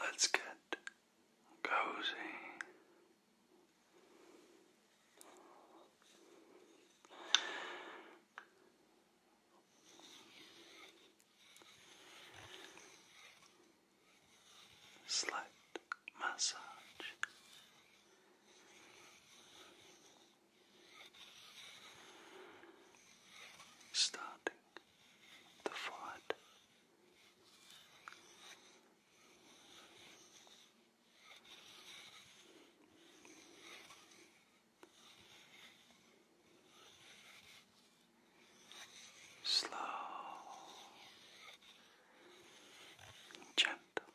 Let's get cozy. Slight massage starting the forehead. Slow gentle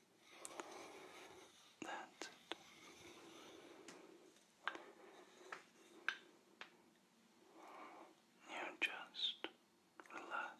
That's You just Relax.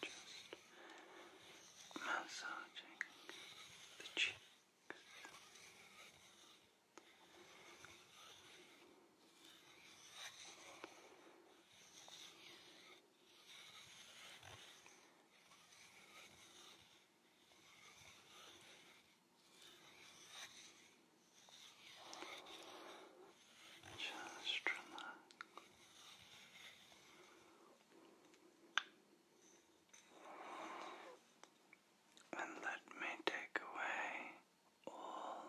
just massaging the cheek. Just relax. And let me take away all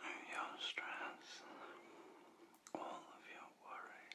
of your stress, all of your worry.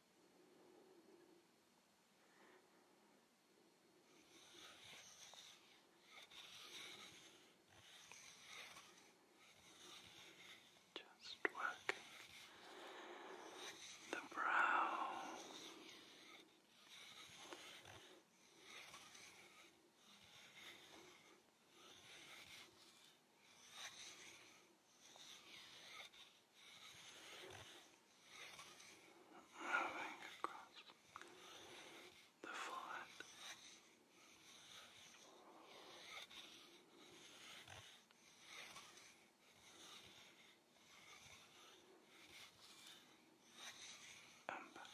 Just working the brow. Just moving across the flat. And back.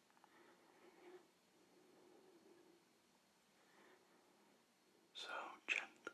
So gently.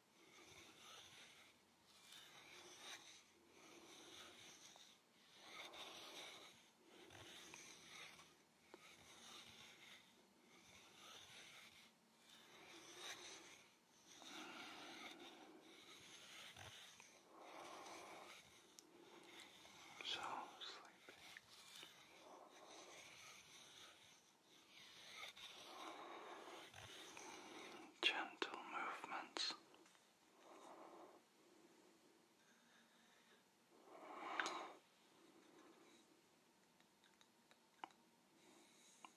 So sleepy gentle movements.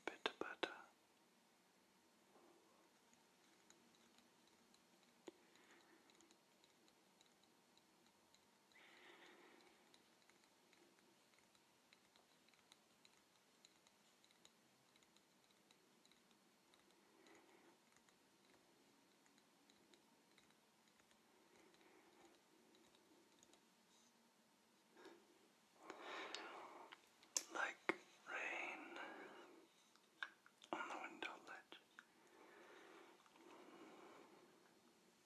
Bit better. Like rain on the window ledge.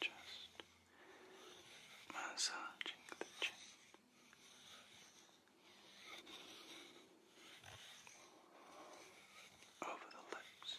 Just massaging the chin. Over the lips,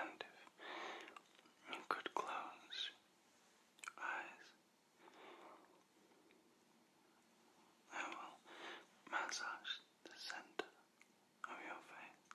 And if you could close your eyes I will massage the center of your face.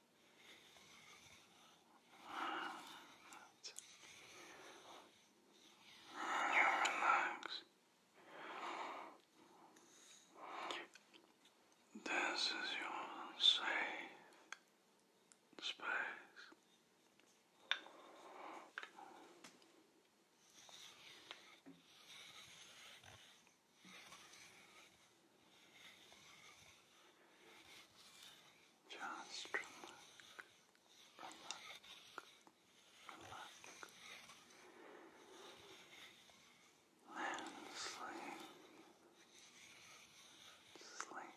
You relax. This is your safe space. Just relax, relax, relax. And sleep, sleep,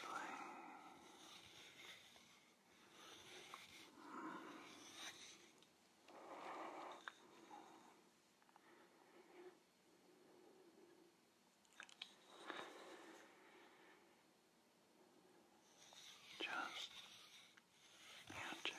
sleep. Mm. Just imagine.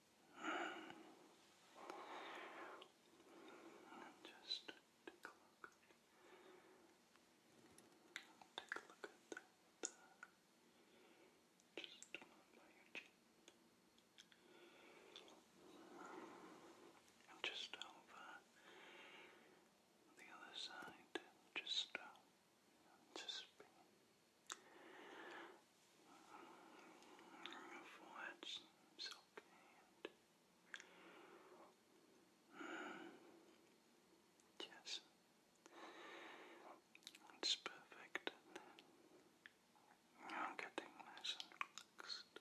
And just take a look take a look at that. Just over the other side. Just uh, just be. Your seems yes, it's perfect. You're getting nice and relaxed.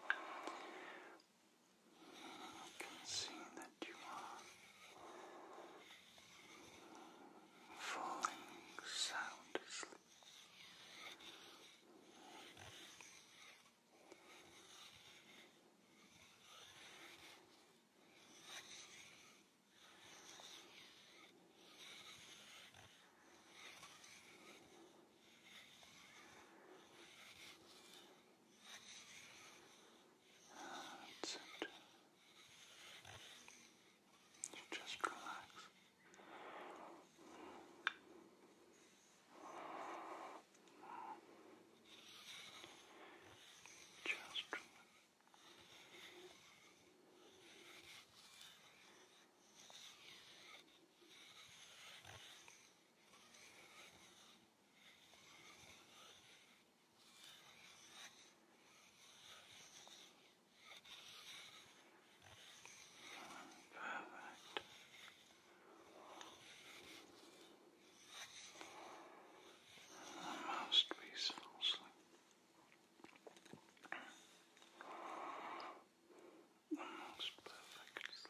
I can see that you are falling sound that's You Just relax. Just relax. Perfect. Almost peaceful sleep. Almost perfect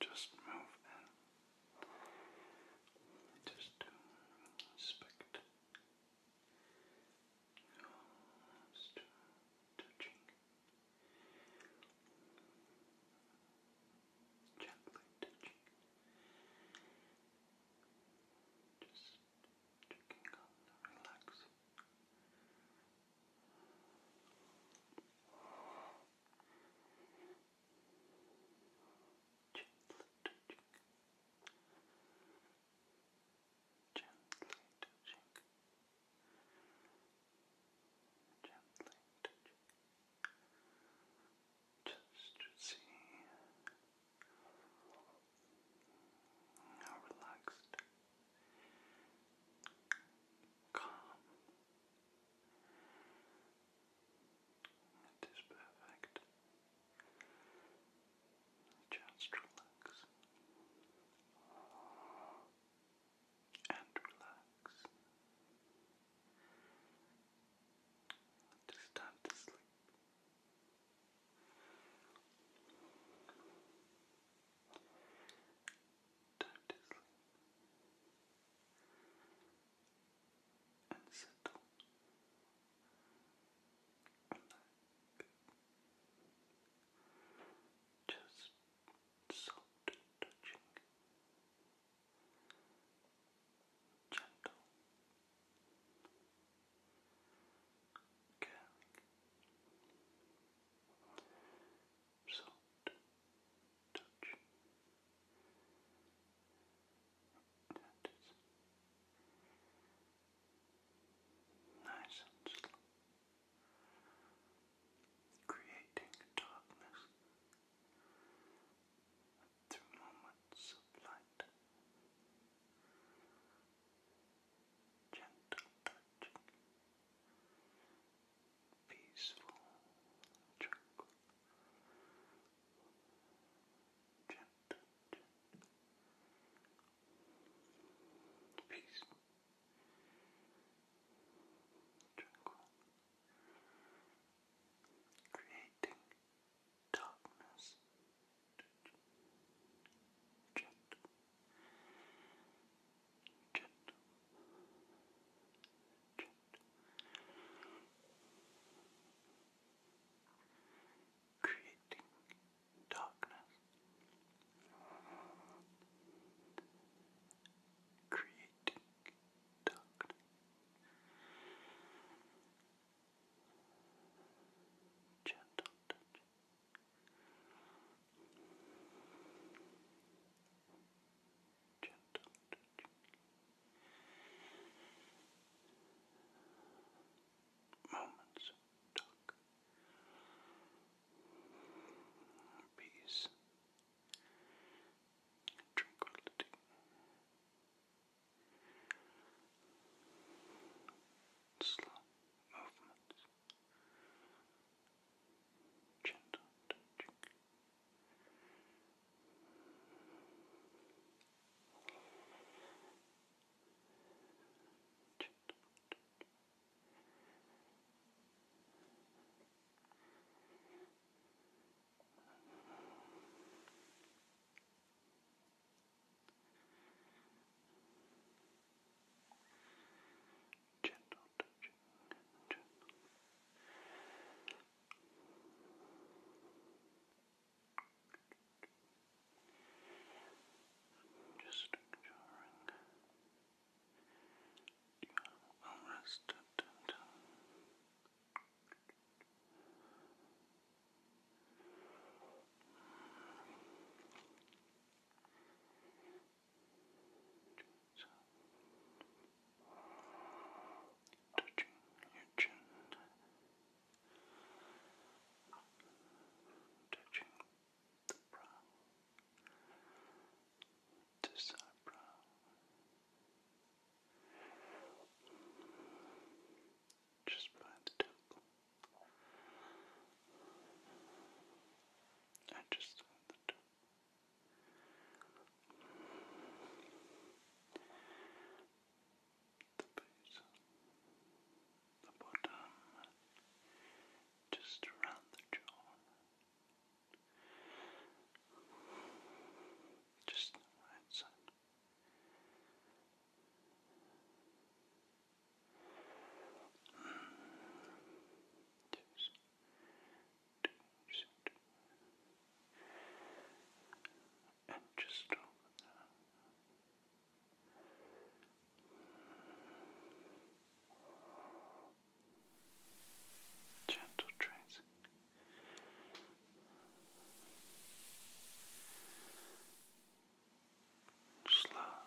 Just move in. Just to respect. Just touching. Gently touching. Just checking on the relax. Gently touching. Gently touching. Gently touching. Just to see now relaxed, calm. It is perfect. Just relax and relax. It is time to sleep. Time to sleep and settle. Relax. Just soft touching. Gentle garlic, salt, touch. That is nice and slow, creating darkness through moments of light gentle peaceful, gentle, peaceful, tranquil, creating darkness. Creating darkness, creating darkness, gentle touch. Gentle touch. Moments of talk. Peace. Tranquility slow movements, gentle touching. Gentle touching. Gentle Gentle touching, gentle. Just ensuring you are well rested and. Relaxed. Touching your chin, touching the brow, this eyebrow, just by the temple. I just saw the temple. The base, the bottom, just around the jaw, just the right and just over there. Gentle tracing. Gentle slow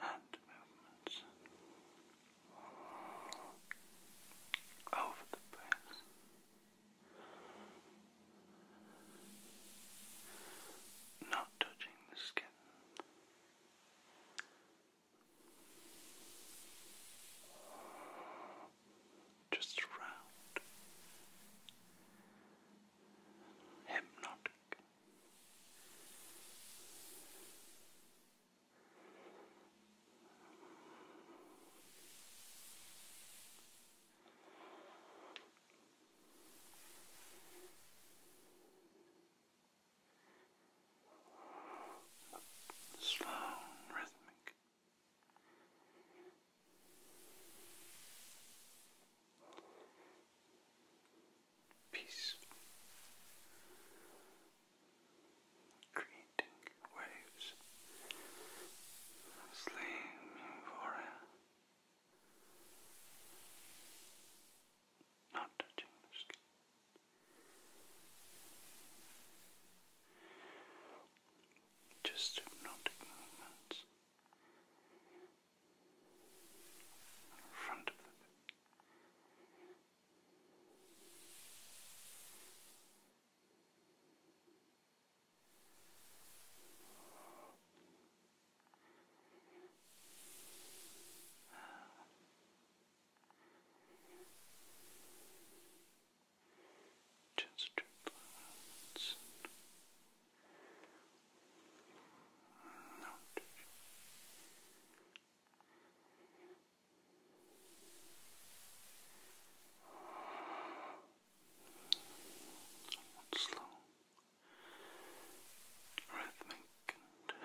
hand movements over the place. Not touching the skin. Just round hypnotic. Slow rhythmic. Peace. Creating waves. Slaying euphoria. Not touching the skin. Just hypnotic movements front of the bed. Just relax. Relax. Out. Somewhat slow, rhythmic, and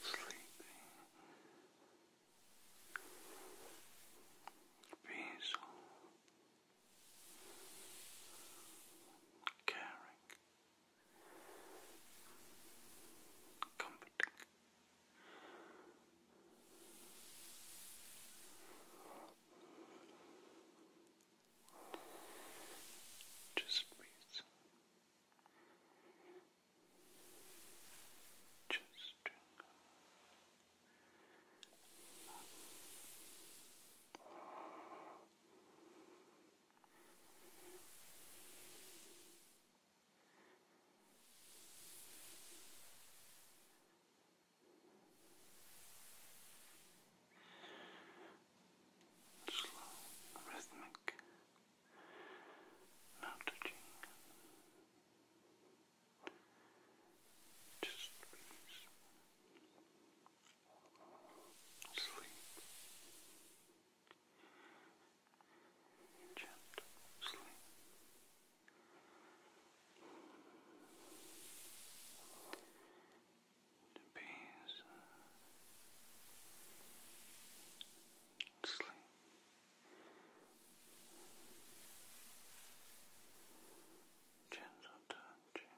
sleepy, peaceful caring, comforting. Just breathe. Just drink. Slow, rhythmic, not touching. Slow, just please sleep. Gentle sleep. The Sleep. Gentle not touching,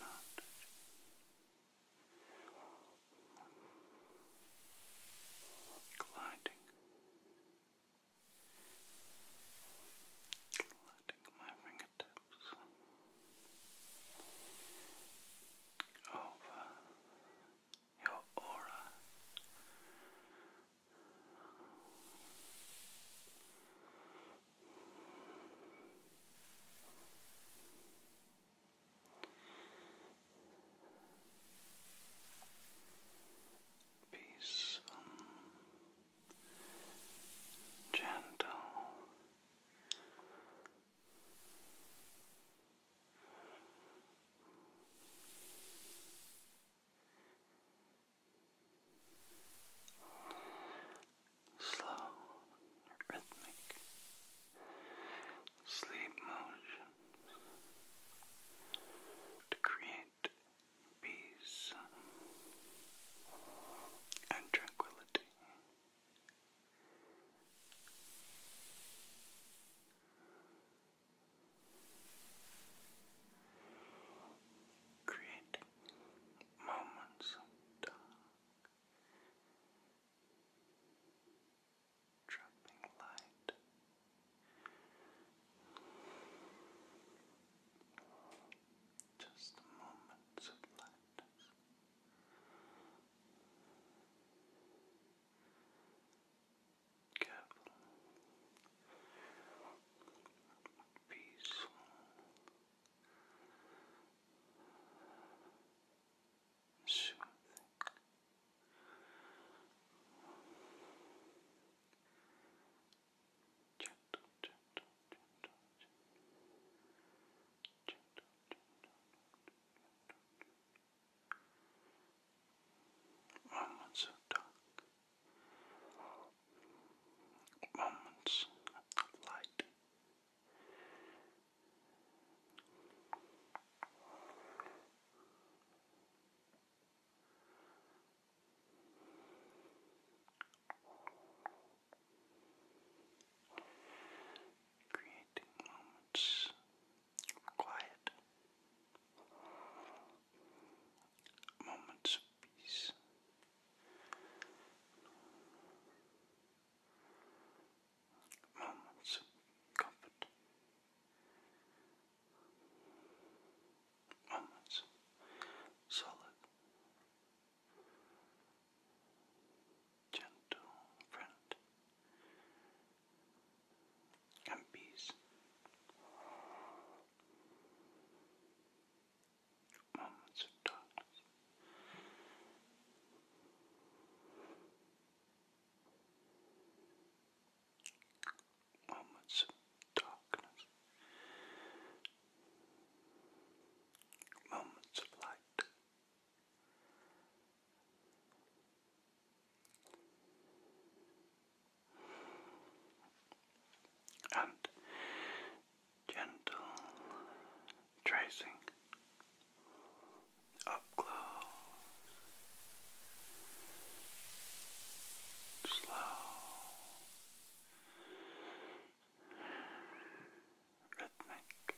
not touching. Gliding, gliding my fingertips over your aura, Peaceful, um, gentle, slow, rhythmic sleep motions to create peace and tranquility. Create moments of dark, dropping light. Just moments of lightness careful, peaceful. Soothing. Gentle, gentle, gentle, gentle, gentle, gentle, gentle. I'm moments of light. Creating moments quiet, moments of peace. Moments of moments solid, gentle friend, and peace. Moments of darkness. Moments of darkness. Moments of light and gentle tracing up slow, rhythmic.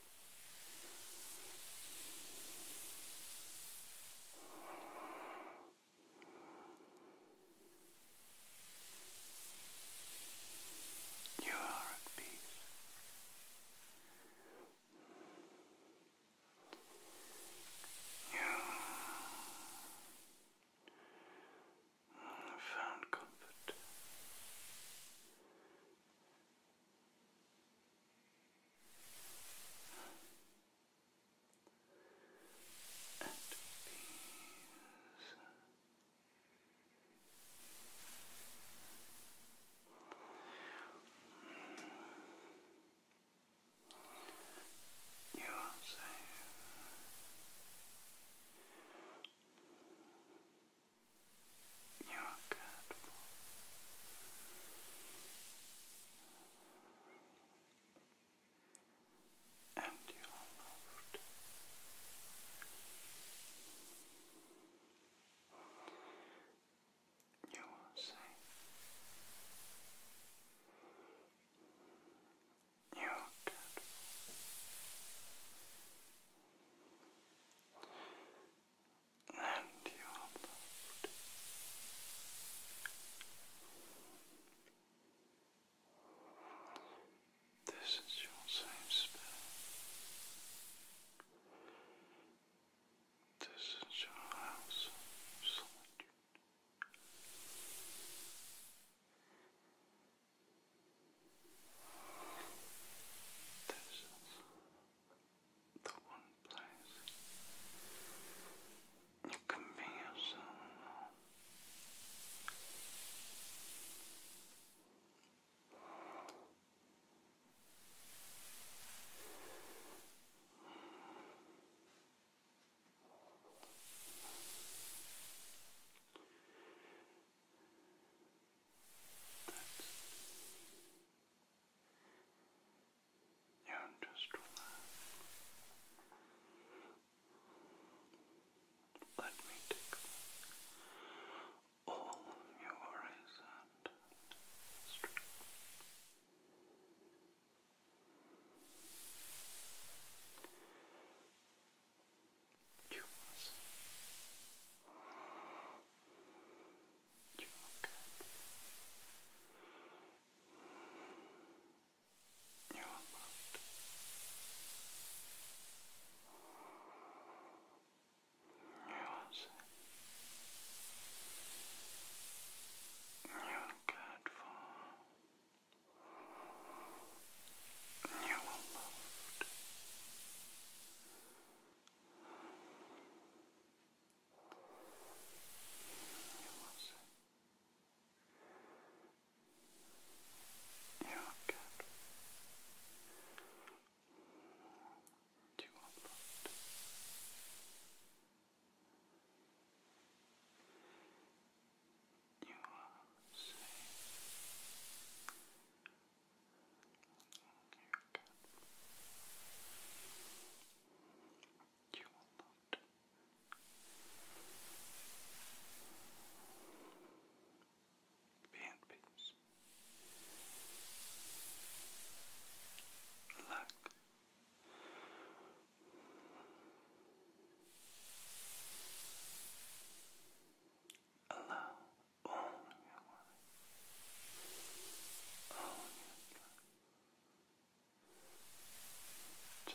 You are at peace. You have found comfort. You and peace. You are safe. You are cared for. You and you loved. You are safe. You are And you loved. This is your safe space. This is your house This is the one place you can be yourself. That's, you just relaxed. Let me take all your worries and strength. You must. You okay. You are loved. You are safe. You are cared for. You are loved. You are safe. You are you're good. you want blood? You are safe. You're good. You will not be at peace. Relax. Allow all your worry, all your love to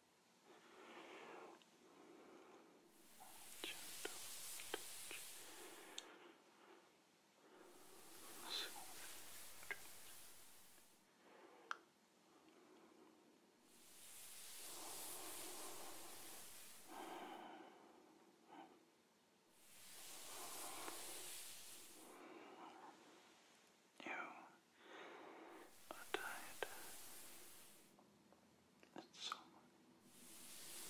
Gentle touch. Soft. You are tired and someone Relax.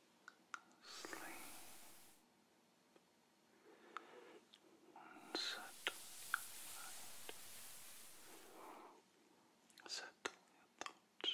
sleep and settle your thoughts, and peace.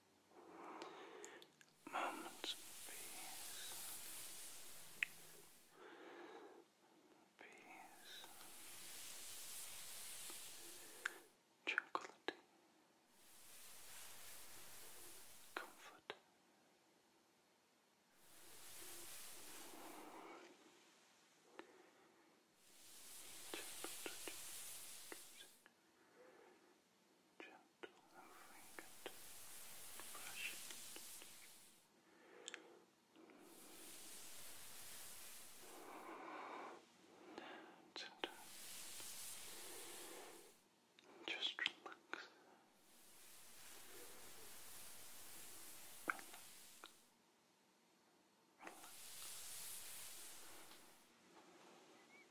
Moments of peace. Peace. Tranquility. Comfort. Temperature gentle and fingered brushing. That's it. Just relax. relax. Relax.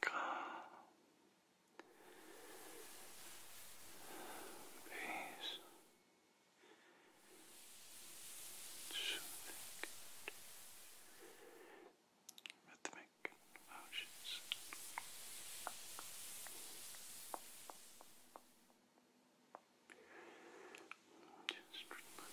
calm, peace, soothing, rhythmic motions. Just relax.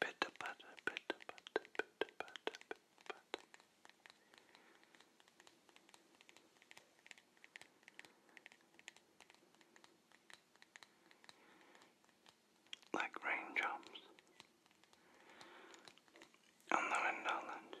Bitte, bitte, bitte, bitte, bitte, bitte, bitte. Like raindrops on the window ledge.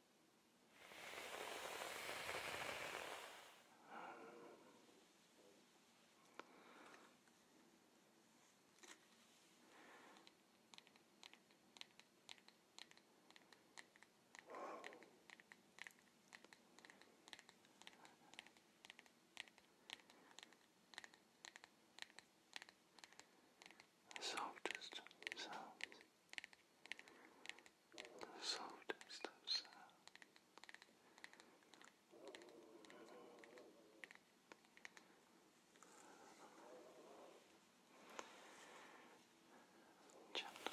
The softest sounds the softest of sounds. Gentle. Gentle.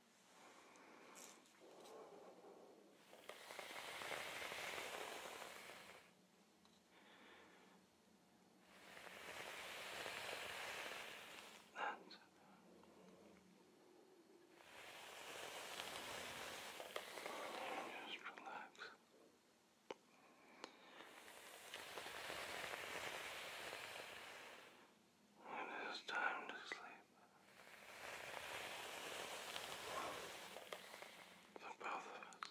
That's it. Just relax. When it is time to sleep, the both of us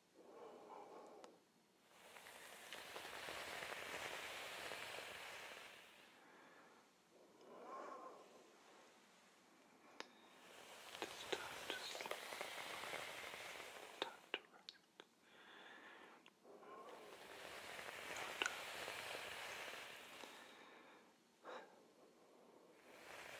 It is time to sleep. Time to rest. Your time. To sleep.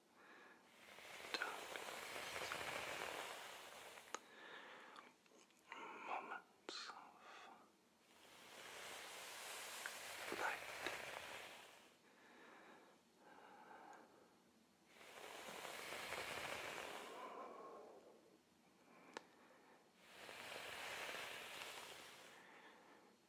darkness, moments of light.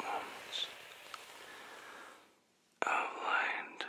Moments of light.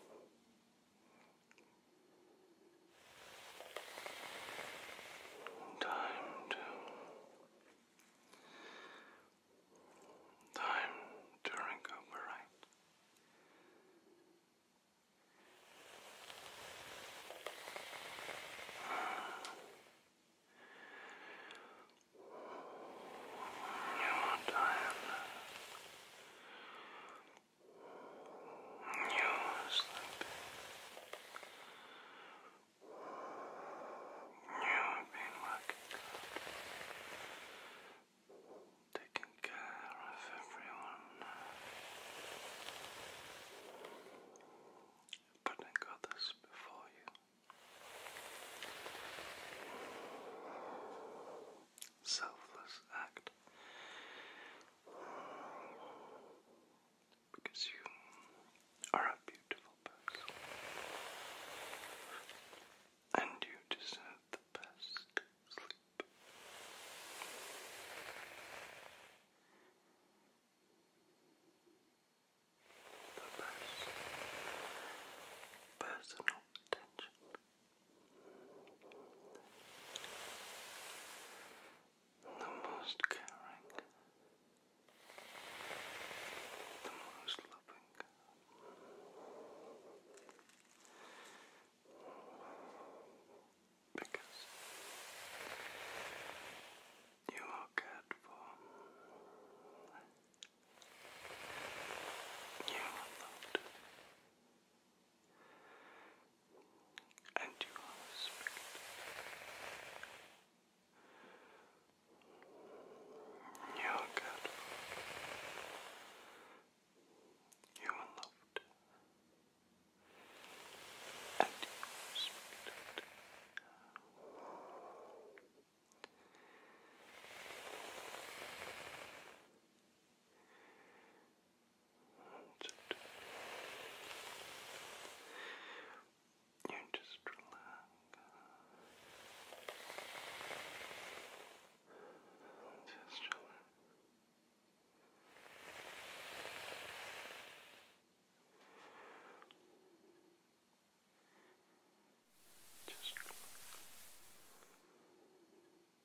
Time to time to recuperate. You are tired. You're You've been working taking care of everyone, putting others before you selfless act because you are a beautiful person and you deserve the best sleep. The best personal attention the most caring, the most loving. Because you are cared for you are loved. And you are respected. You are good. You are loved. And you are respected. That's it. You just relax. Just relax. Just relax.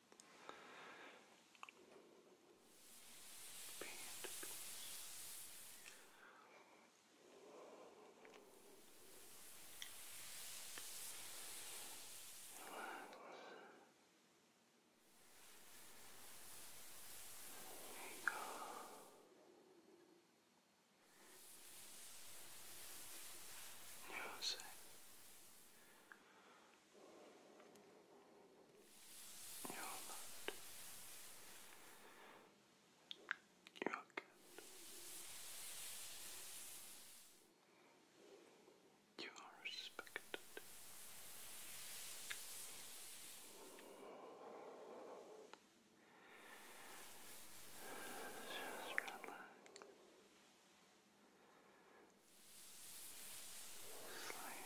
Be at peace. Relax. There you go. You're safe. You're loved. You're good. You are respected. Just relax. Sleep.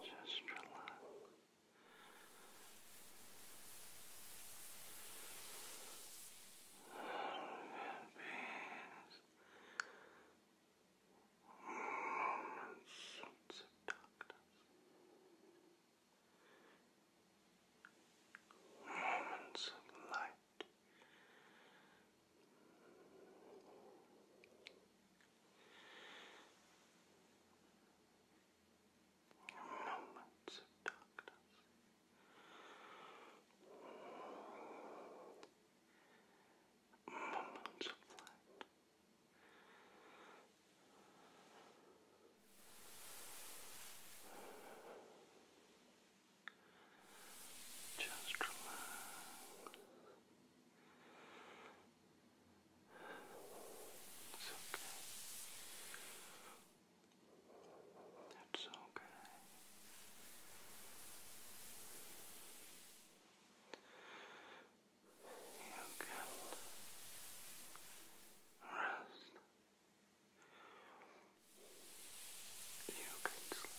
Just relax. Moments of darkness. Moments of light moments of darkness. Moments of light. Just relax. It's okay. It's okay. You can rest. You can sleep.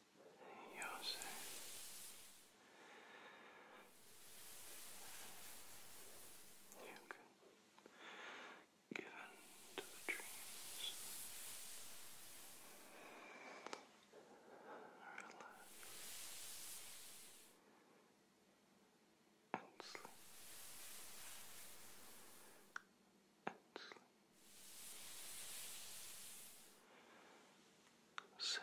You're safe. You can give in to dreams. Relax. And sleep. And sleep. So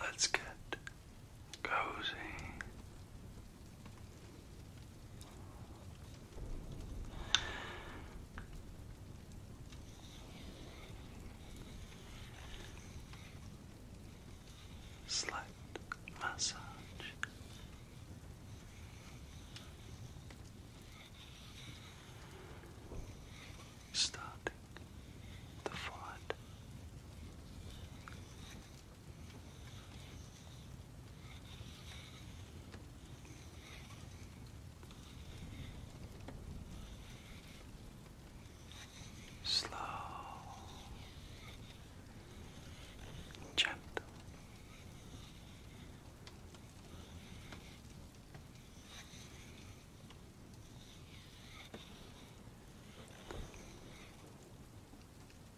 Let's get cozy Slight massage. Starting the forehead, Slow, gentle.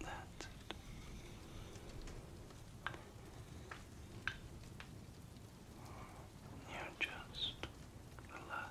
That's You just relax.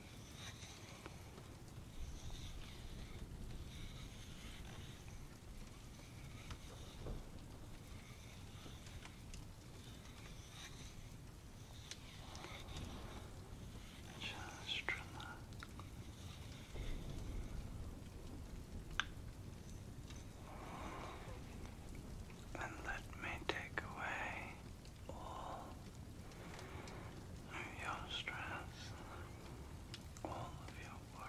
Just relax. And let me take away all your stress, all of your worry.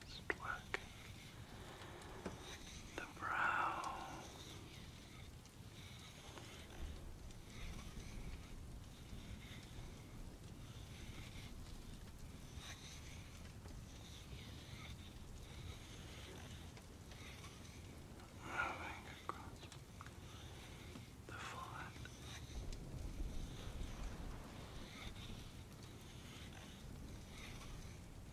just working the brow. Moving across the forehead.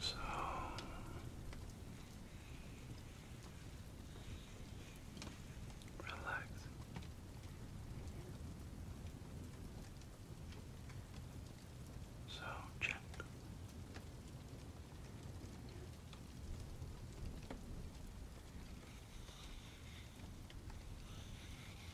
So relax. So check.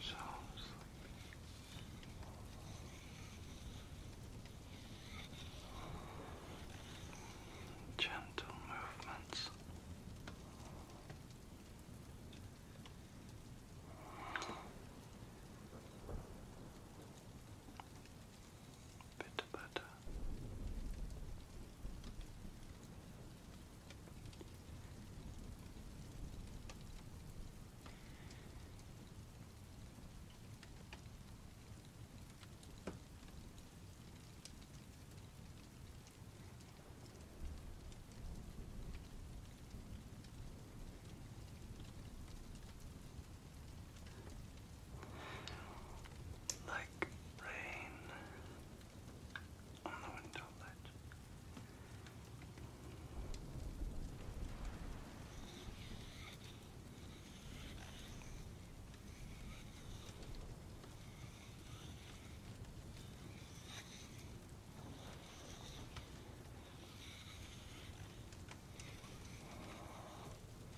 So Gentle movements bit better like rain on the window ledge.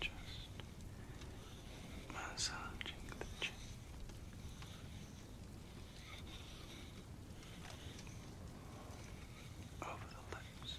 Just massaging the chin. Just over the lips.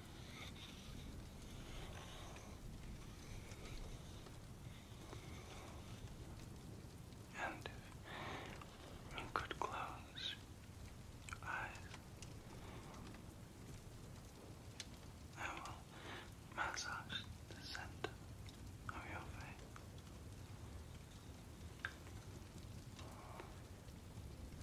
And uh, you could close your eyes, I will massage the center of your face.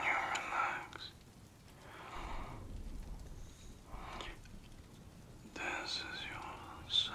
You relax. This is your safe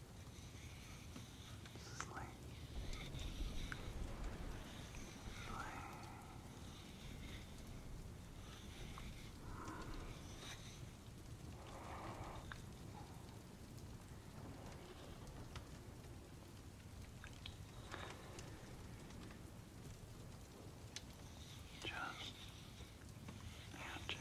Sleep. Sleep. Just imagine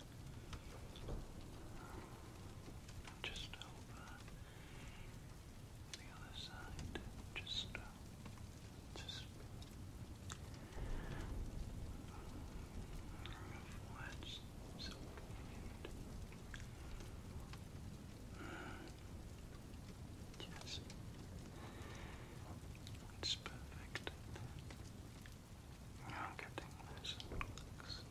Just over the other side. Just, uh, just forwards. Yes. It's perfect. Now getting this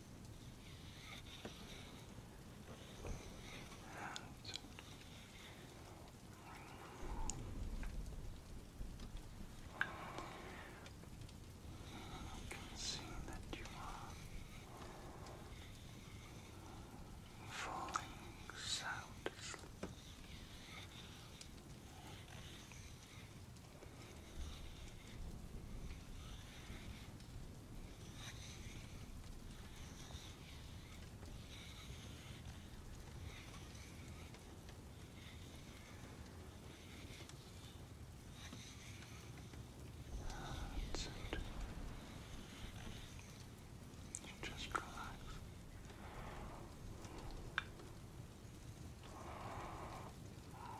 I can see that you are falling sound asleep. That's it. You just relax. Relax.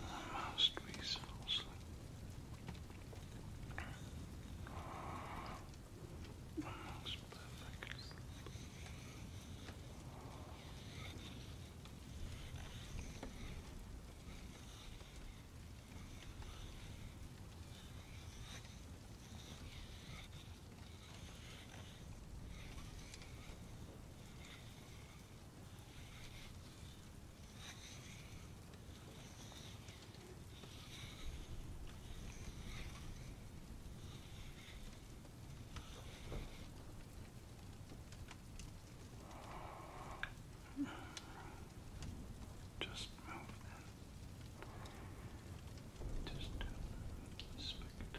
Almost resourceless. Almost perfect. Almost just move them. Just inspect.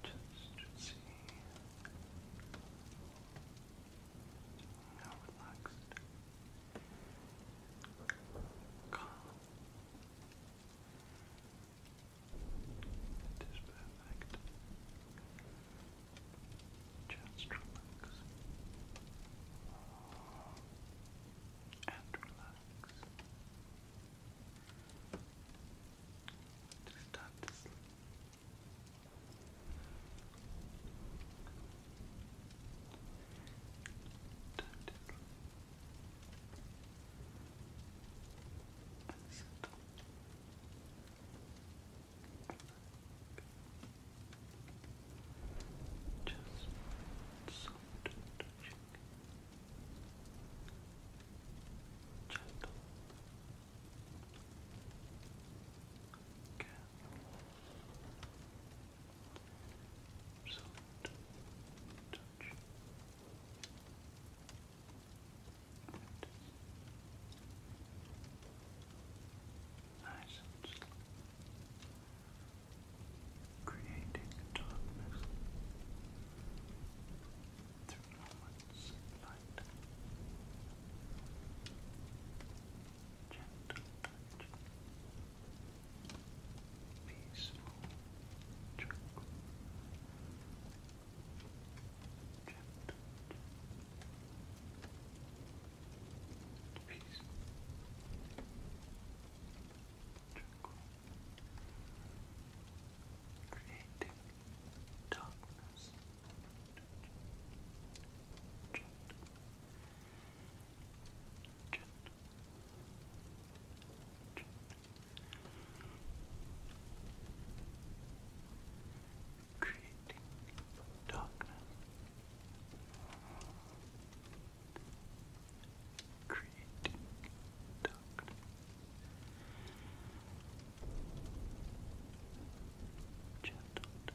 Just to see how relaxed, calm it is perfect. Just relax. And relax. start to sleep. Time to And settle. Just soft touching. Gentle. Careful. Soft touch. Good nice creating darkness through light. Gentle touch, peaceful, tranquil, gentle peace, tranquil, creating darkness, Creating darkness, creating darkness. Gentle Gentle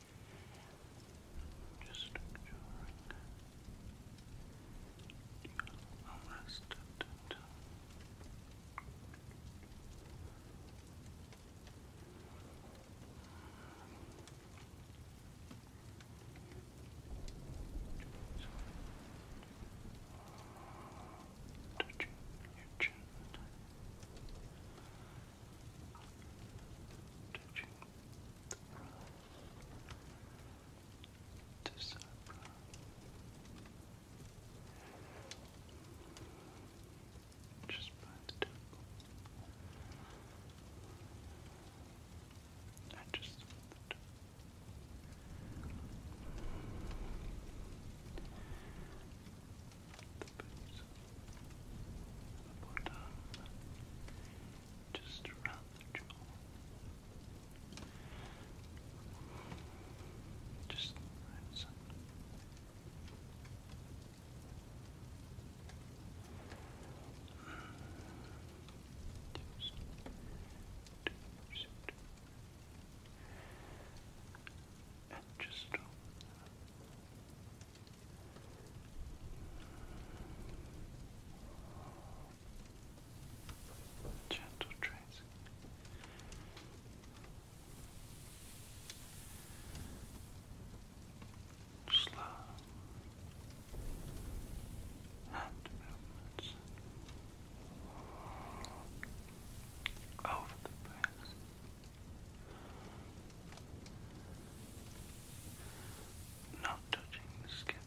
Just you your arrested Touching your chin, touching the brow to Just by the temple. I just the base the bottom just around the jaw. Just listen. Just and just over Gentle tracing. Slow hand movements over the place. Not touching the skin.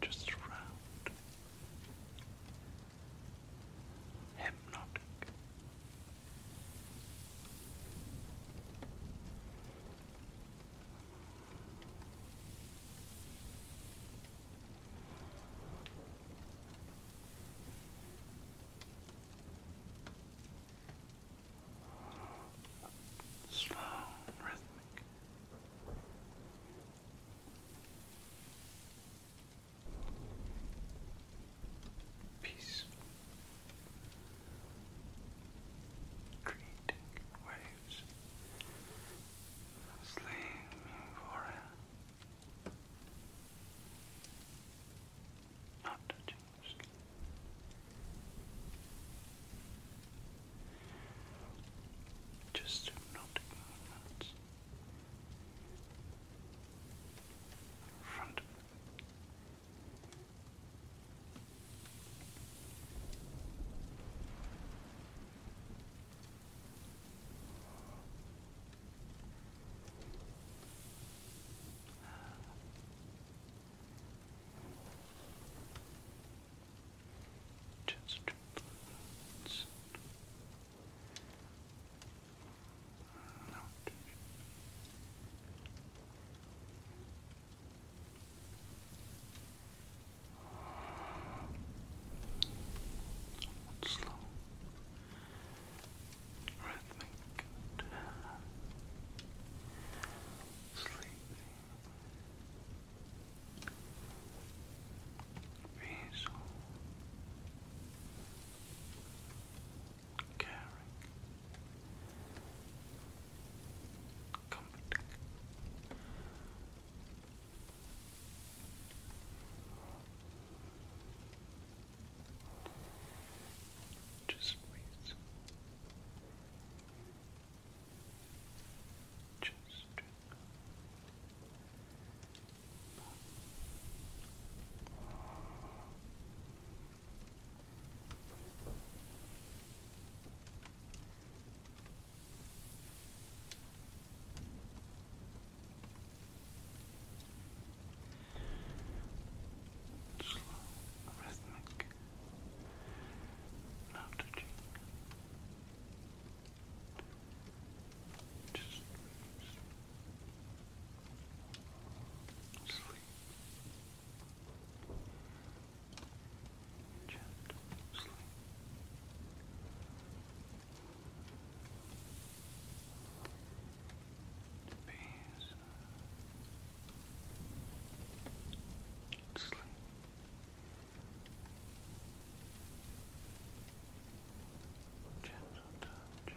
Just round, hypnotic. Slow, rhythmic. Peace. Creating waves. Sleeping for not touching your skin. Just hypnotic movements front just relax. Out. Slow rhythmic and sleepy, caring, comforting. Just wait. Just Slow, rhythmic, not touching. Just sleep. Gentle sleep peace, sleep. Gentle touch, not touch.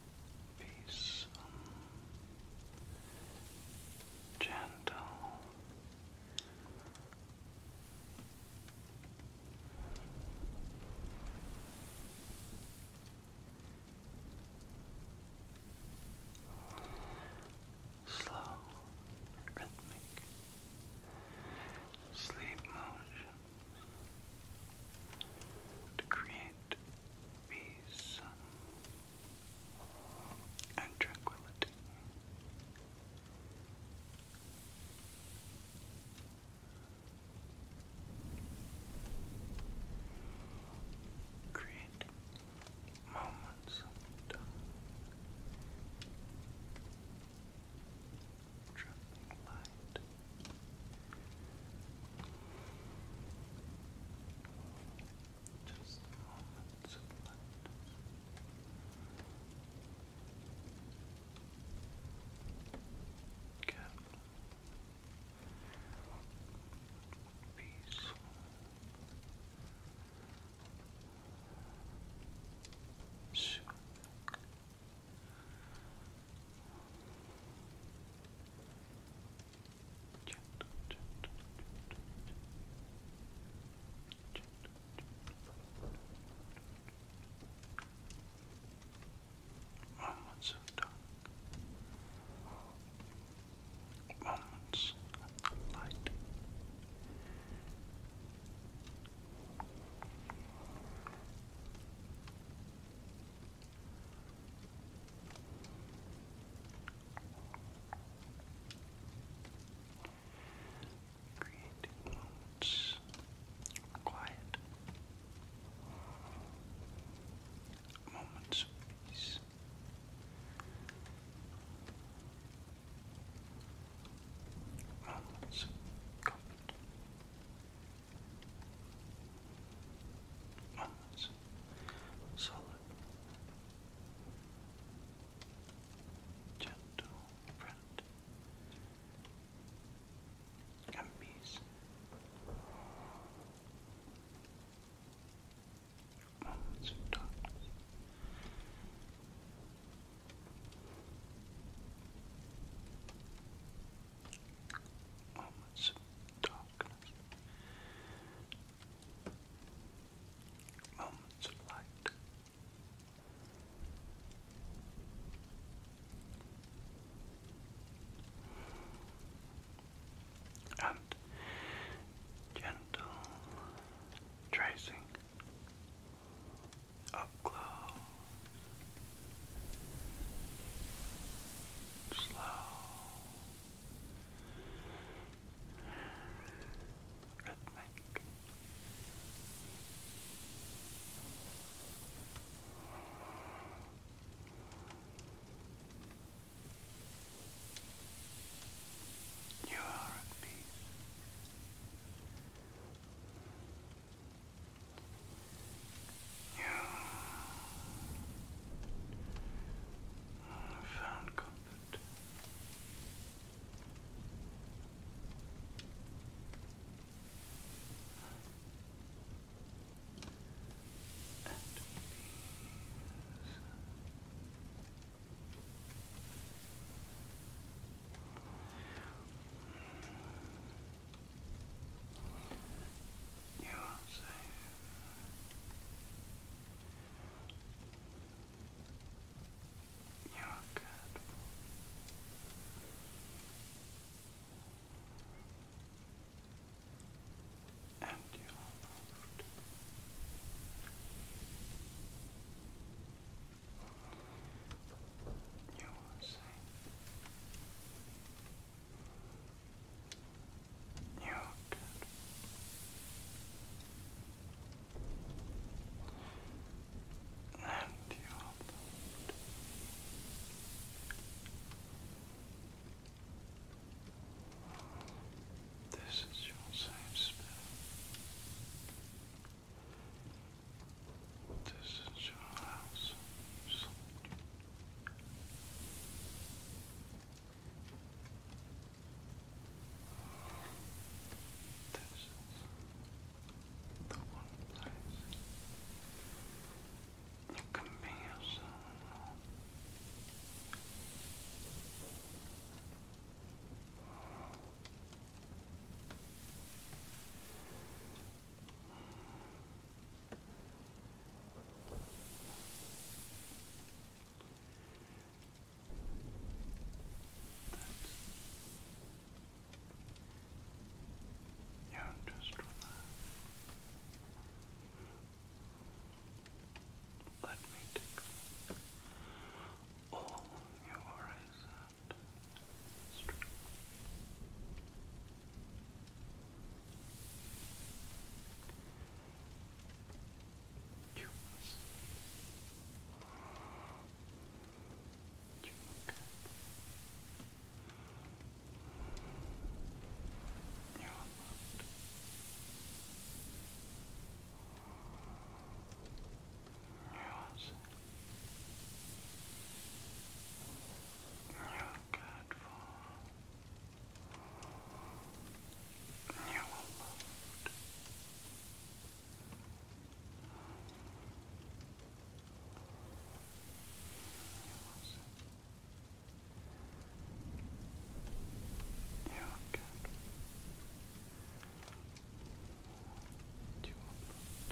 peaceful, gentle. Slow, rhythmic, sleep motions to create peace and tranquility. Create moments of traveling light. Just moments of lightness. Careful. Sure gentle, gentle, gentle, gentle, gentle. Moments of dark. Moments of light. Creating moments moments of peace. Moments of Moments of gentle friend and Moments of darkness. Moments of darkness. Moments of light. And gentle tracing up close, slow rhythmic. You are at peace. You I found comfort. And you are safe. You're good. And you moved. You are safe. You look good. And you look good. This is your safe space. This is your house. This is the one place you can be yourself. That's, yeah, just Let me tickle all your worries humans. Humankind. You are loved. You are safe. You are cared for. You and you're well loved. You're good. You are loved.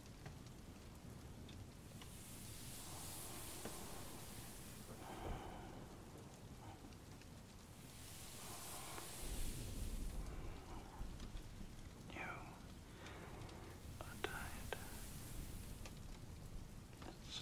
You are tired. That's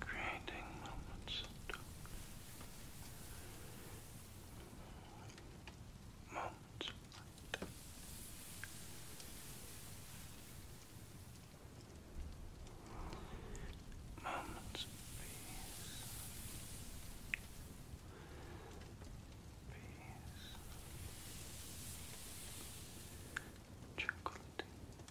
creating moments Moments Moments peace. Peace. Tranquility.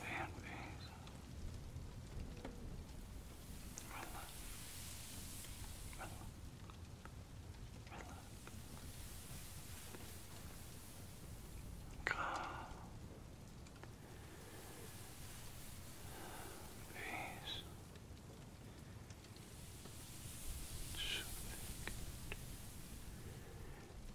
Be at peace. Relax. Relax. Relax. Calm. Peace. Soothing.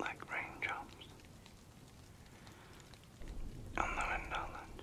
like raindrops on the wind island.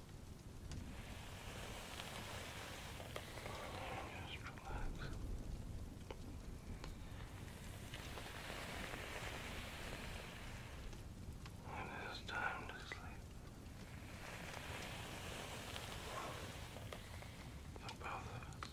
Just relax. When it is time to sleep, for both of us. Relax.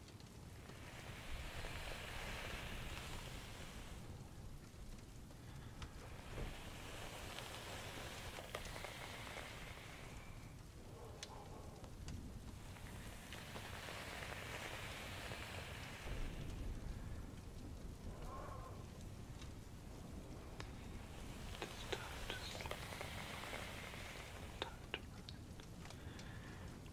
Time to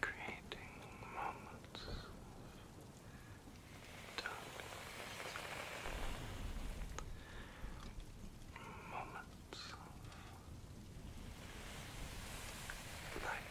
Creating moments darkness, moments light.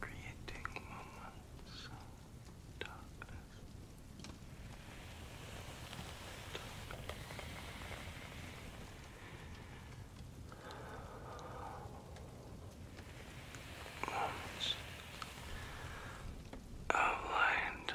creating moments of darkness. Moments of light.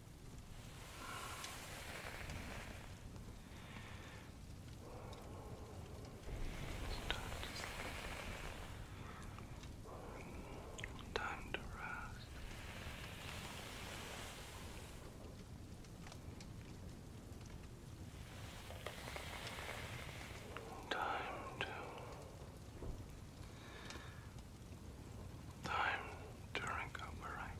It's time to rest. Time to time to recover. Right?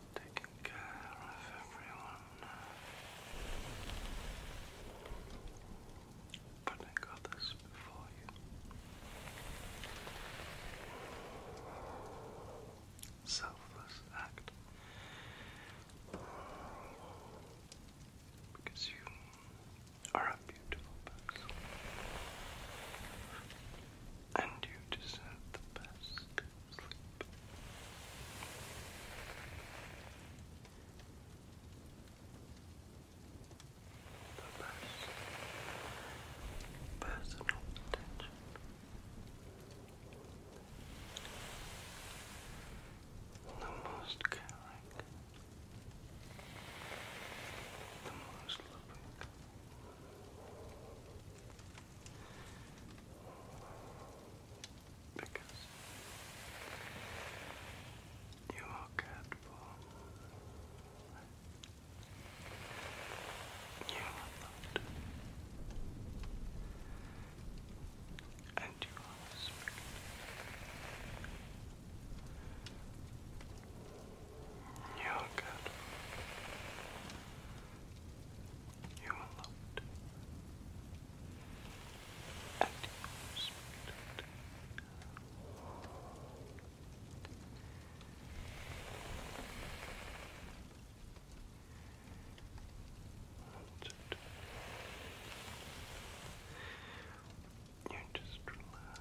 taking care of everyone, putting others before you. Selfless act because you are a beautiful person and you deserve the best. Sleep. The personal attention. The most caring, the most loving, because you are cared for. You are loved. And you are respected. You are cared for. You are And you are respected. it. You just relax.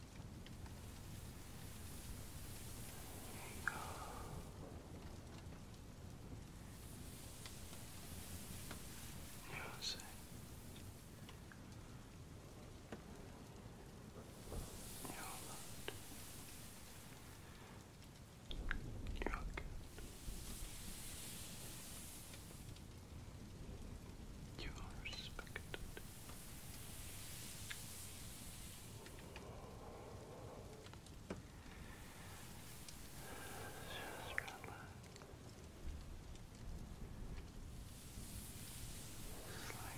There you go. Music. You're loved. You're good. You are respected. Just relax. Sleep. Sleep. Sleep.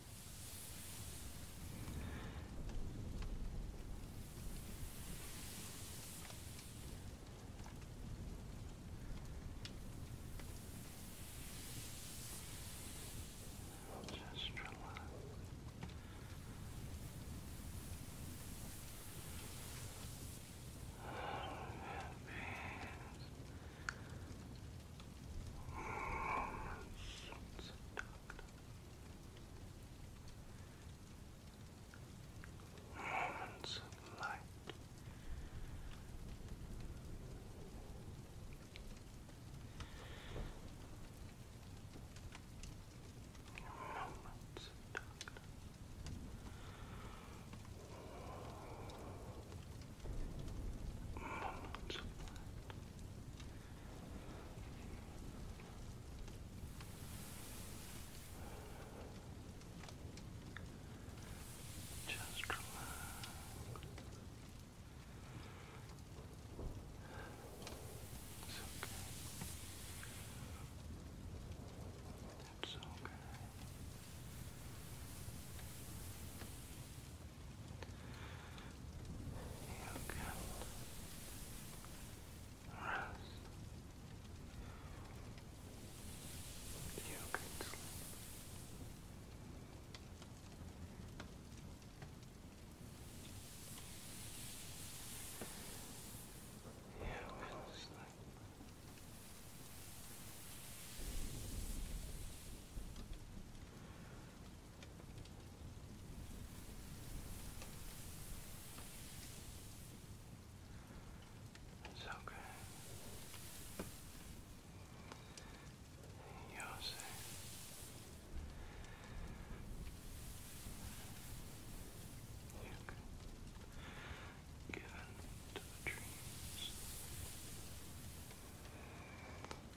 Just relax. Moments of Moments of light. Moments of darkness. Moments of light. Just relax. It's okay. It's okay. You can rest. You can sleep. You will sleep. You it's okay. You're safe. You can give in the dreams.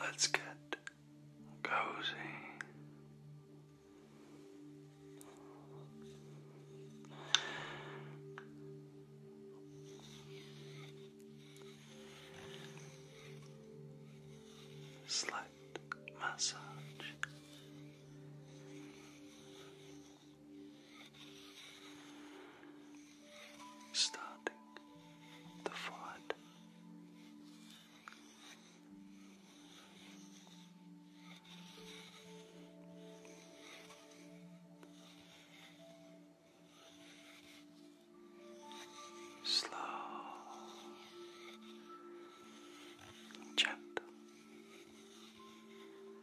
Let's get cozy. Slight massage starting the fight. Slow, gentle,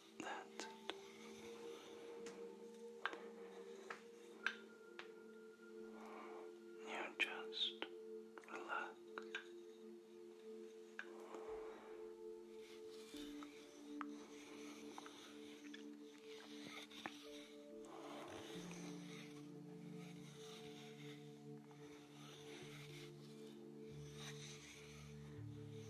That's You just relax.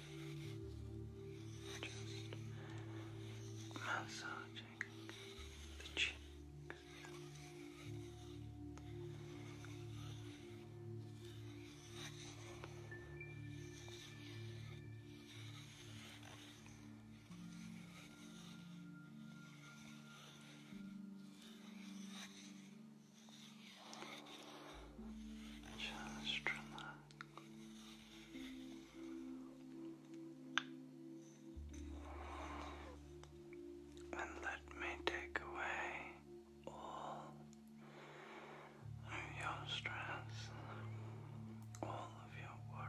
Just massaging the cheeks. Just relax. And let me take away all of your stress, all of your worry.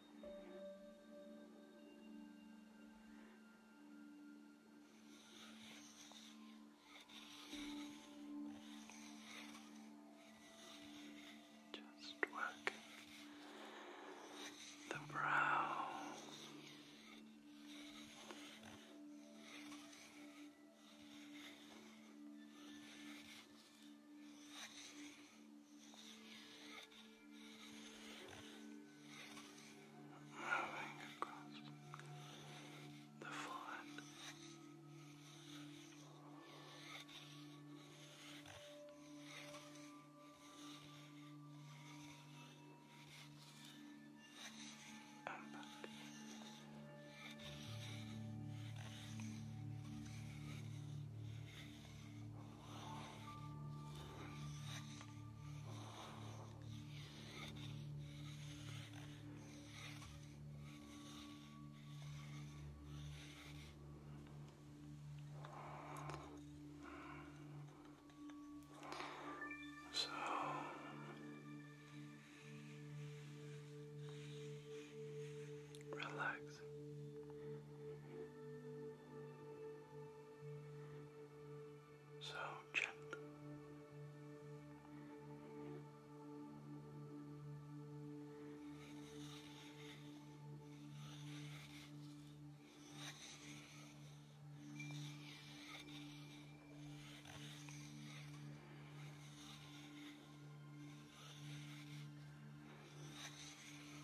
Just working the brow. Moving across the flood. So relax. So gentle.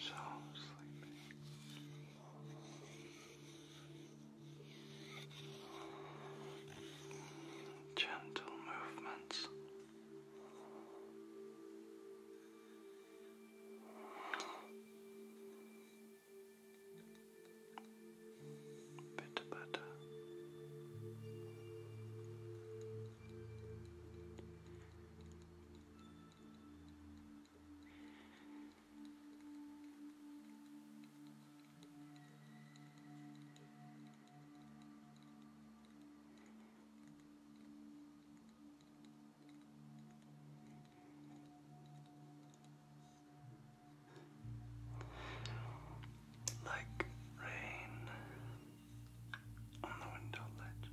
So sleepy gentle movements. Bit better. Like rain on the window ledge.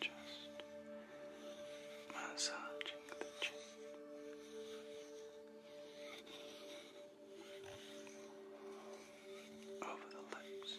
Just massaging the chin. Over the lips,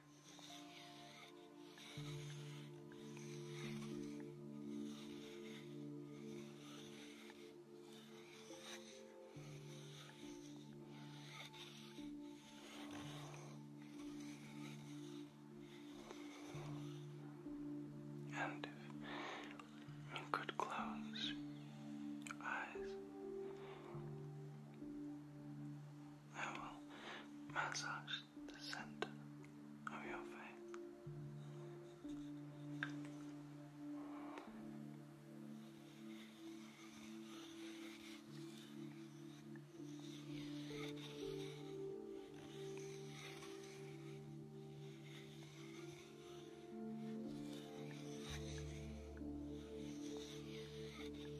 And you could close your eyes, I will massage the center of your face.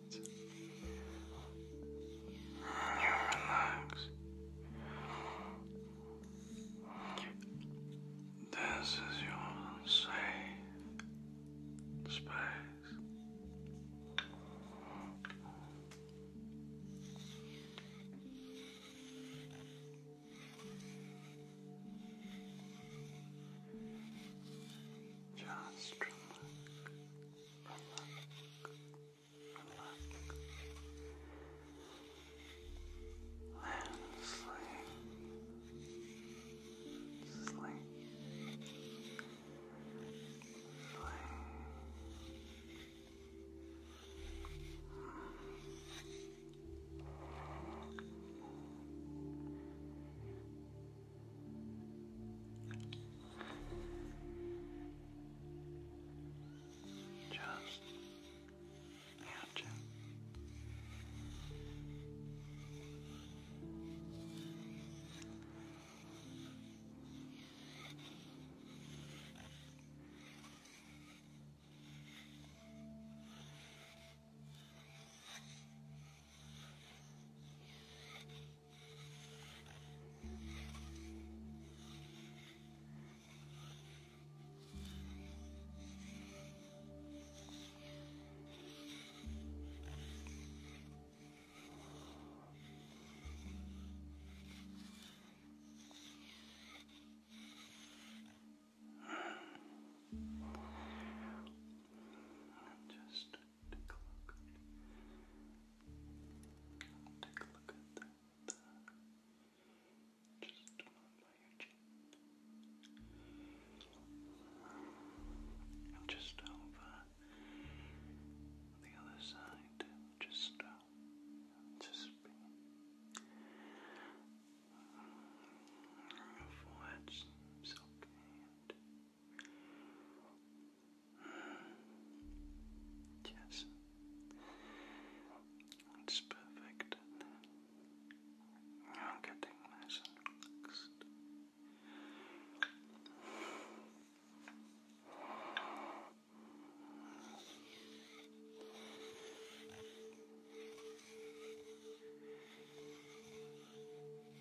relax. This is your safe space. Just relax, relax, relax. And sleep, sleep, sleep. Just imagine. Just and just take a look take a look at that. Just one by your chin. And just over the other side. Just down. Um, just your forehead's silky and Mm. Yes. It's perfect. I'm getting relaxed.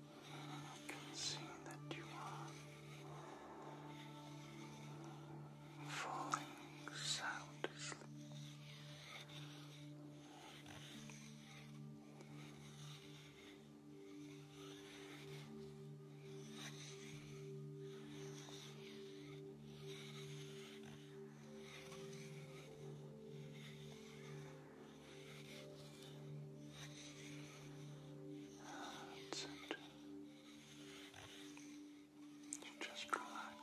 I can see that you are falling sound and You Just relax.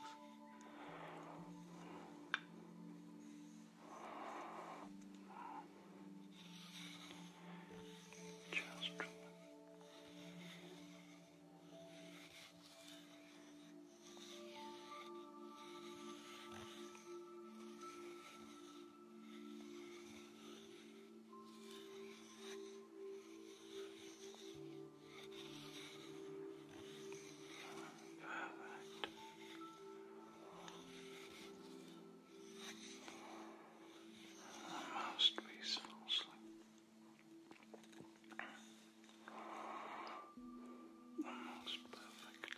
Just relax. Almost peaceful sleep. Almost perfect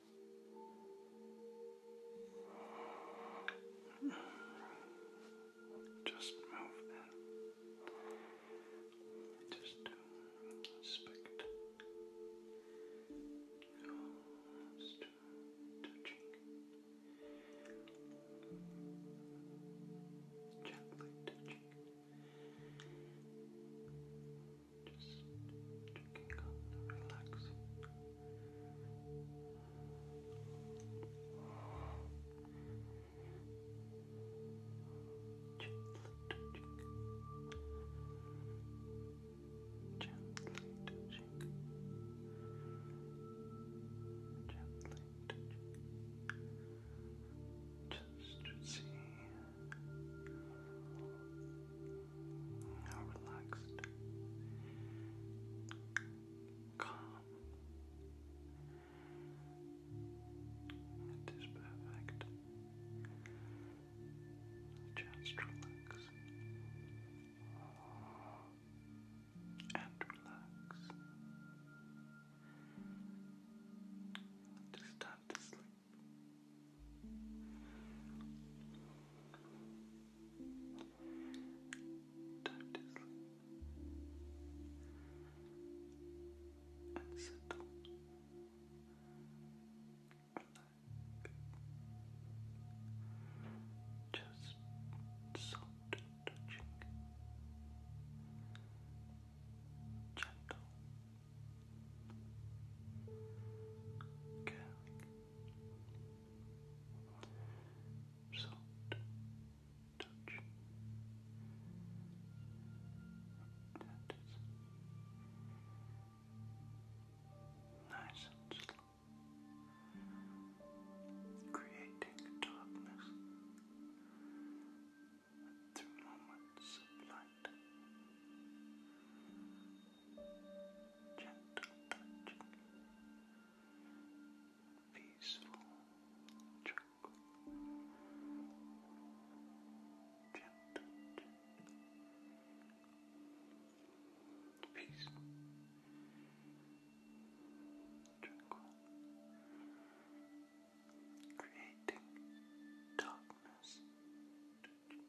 Just move that. Just do respect. Oh, that's too touching. Gently touching. Just checking on the relaxing. Gently touching. Gently touching. Gently touching. Just to see how relaxed, calm. It is perfect. Just relax and relax. It is time to sleep. Time to sleep and settle. Relax. Just soft touching. Gentle. Caring soft touch. That is nice creating darkness through moments of light gentle peaceful, tranquil, gentle, gentle, tranquil, creating darkness gentle,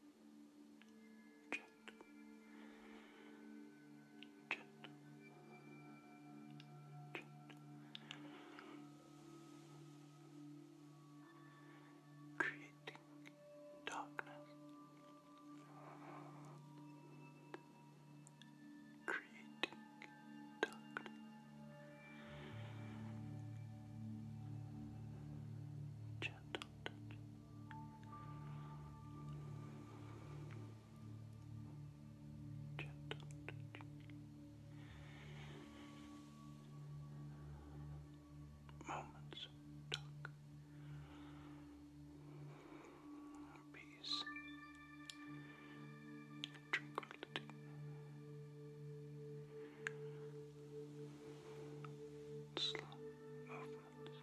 gentle, creating darkness, creating darkness. Gentle touch, Gentle touch. Moments Peace. Tranquility. Slow movements.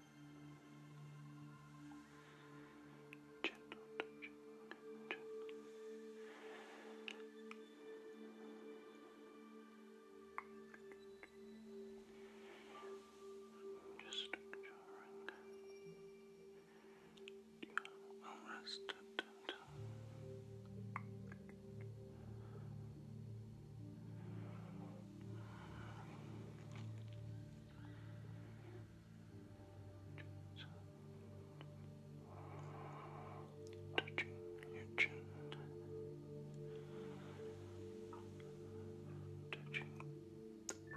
Gentle touching, Just enjoying you are rested touching your chin, touching the brow,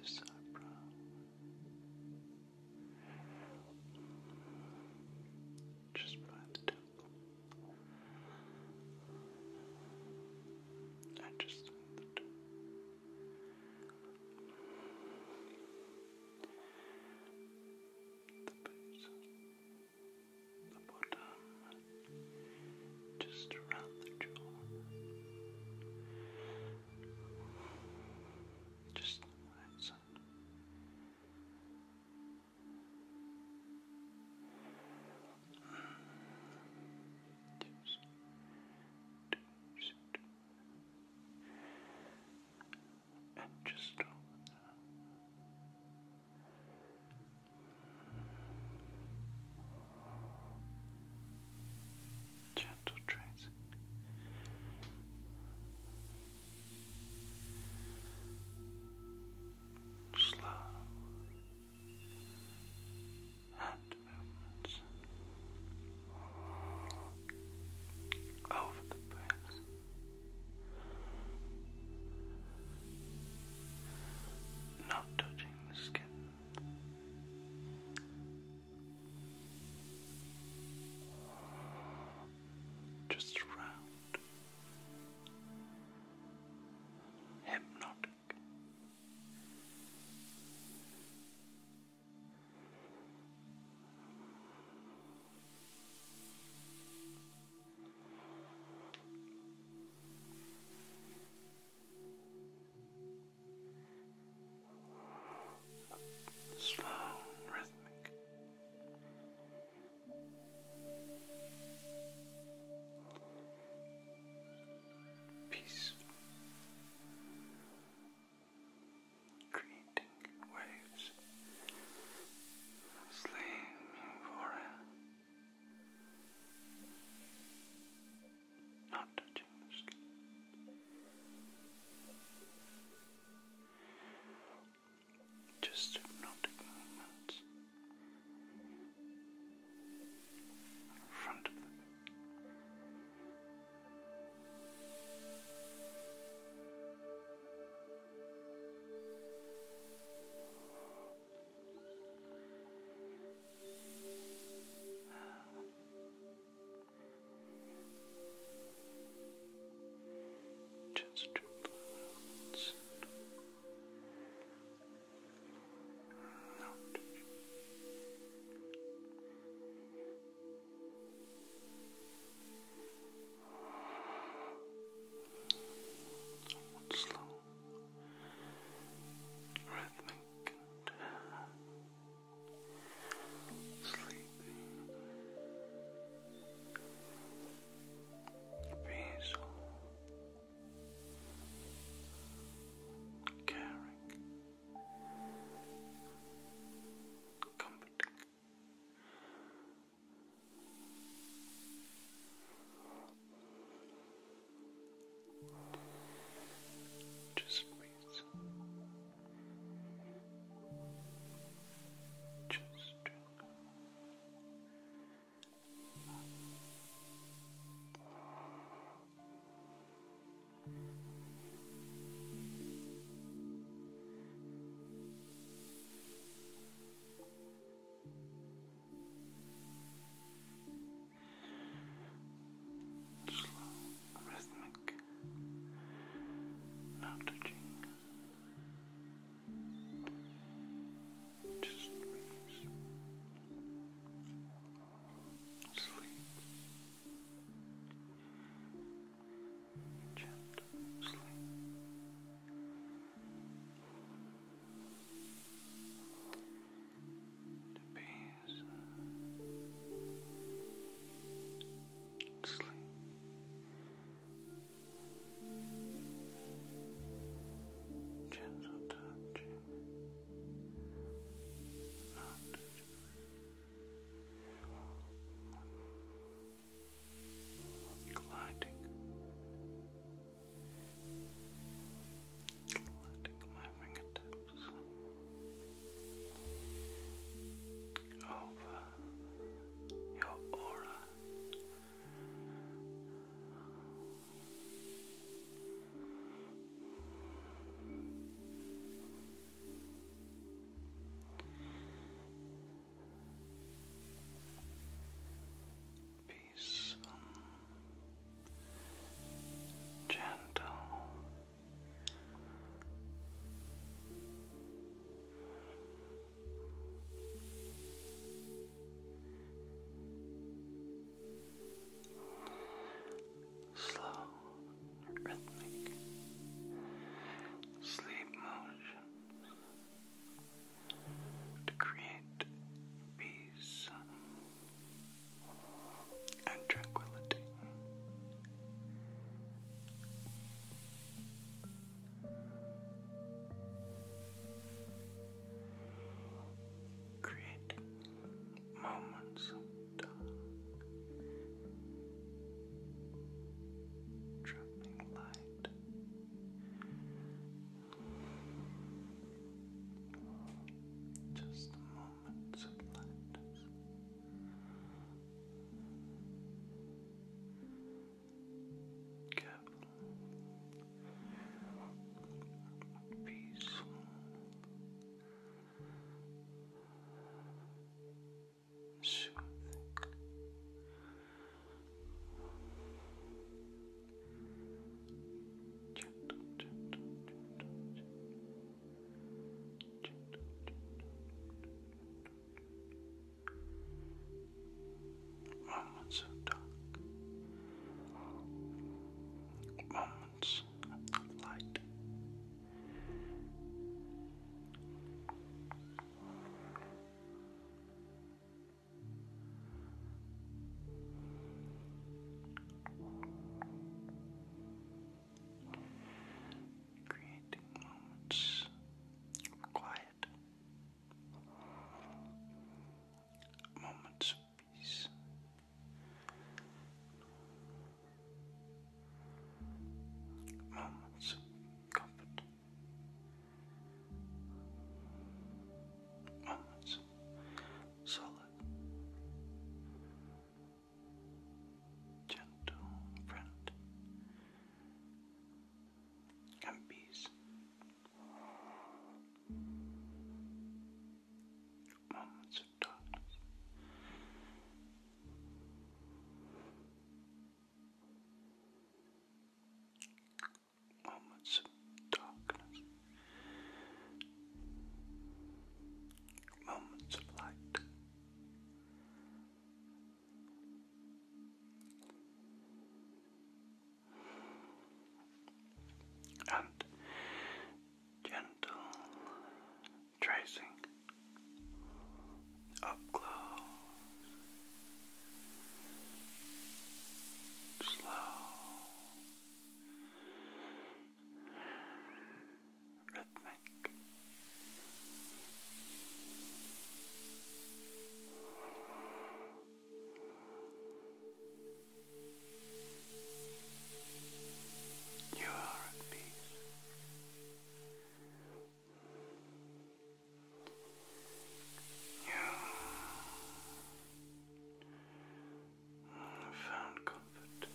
this eyebrow, just by the temple. I just the base, the bottom, just around the jaw, just that side. And just over that. Gentle tracing. Slow hand movements over the breath. Not touching the skin. Just around. Hypnotic. Slow and rhythmic. Peace. Creating waves, slaying for it, not touching the skin. Just hypnotic movements in front of them. Just to blow note. Somewhat slow, rhythmic, and sleepy, peaceful. Relaxing, caring, comforting. Just breathe. Just drink. Slow, rhythmic, now touching. Just release. Sleep. Gentle sleep. The peace. Sleep. Gentle touching gliding, gliding my fingertips over your aura. Peace, gentle, slow, rhythmic sleep motion to create peace and tranquility. Creating moments of time, traveling light. Just moments of lightness. Careful, Peace. soothing. Gentle, gentle, gentle, gentle, sounds of light. Creating moments of quiet, moments peace. Moments of Moments solid, gentle friend and peace. Moments Moments of darkness. Moments of light. And gentle tracing up close, slow, rhythmic. You are at peace. You found comfort. At peace.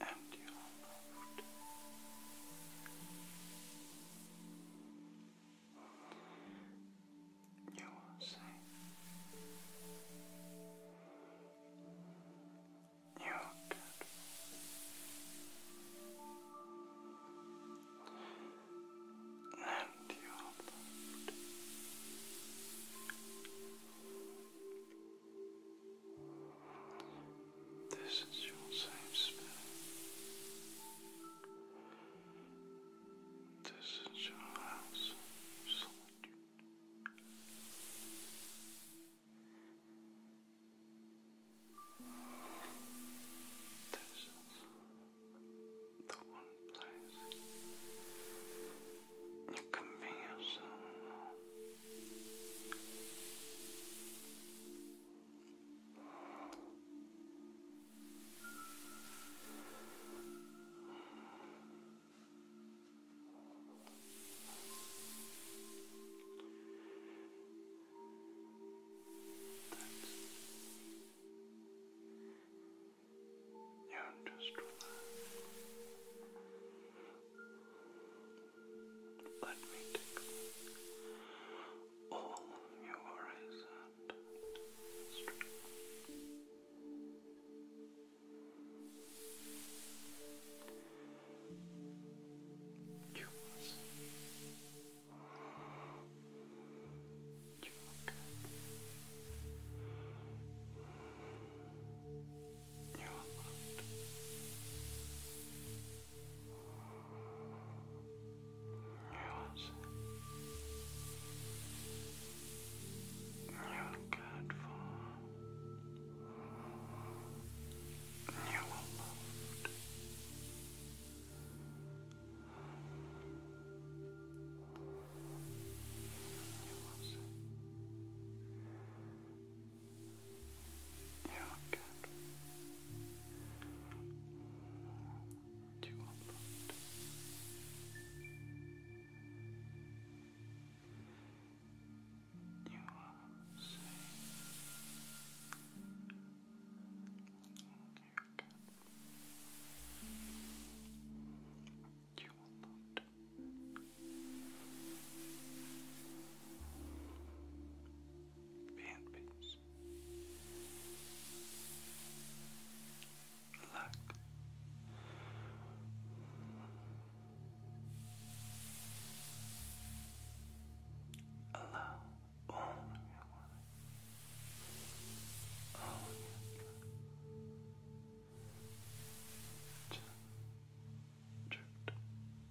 and you are loved. You are safe. You are good. And you loved. This is your safe space. This is your house This is the one place you can be yourself. That's you just relax. Let me take all your worries and strength. You will see. You look Yes. You're cared for. You are loved. You are safe. Yeah, good. Do you want that? You are safe. You're good. You will not. Be at peace. Relax. Allow all your worry, all your to drift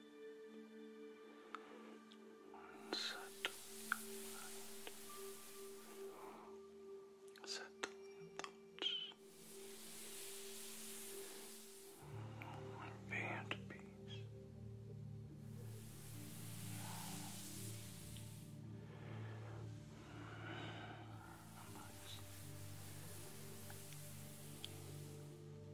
and settle Settle your thoughts and peace. Relax.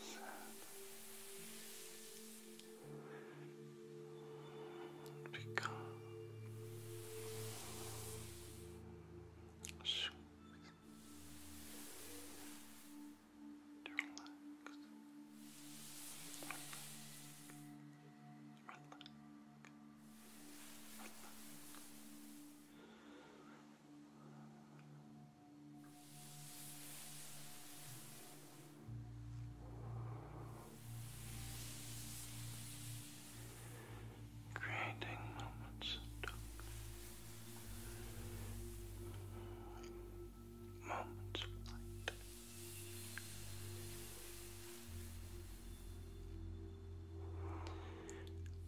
Seven. Become shoes to relax. relax. Relax. Relax. Creating moments of darkness, moments of light.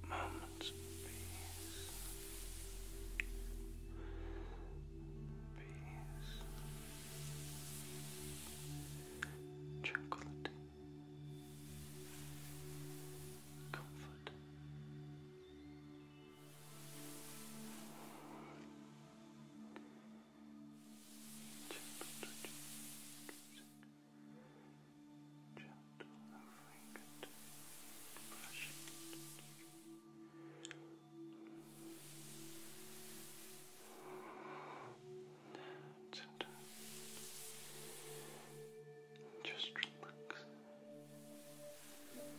Moments of peace. Peace. Tranquility. Comfort. Temperature gentle and fragrant brushing. And just relax. relax. Relax.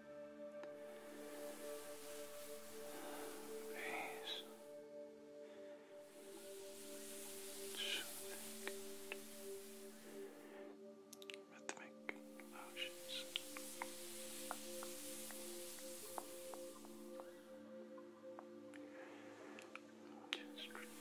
Peace. Rhythmic motions. Just relax. Relax.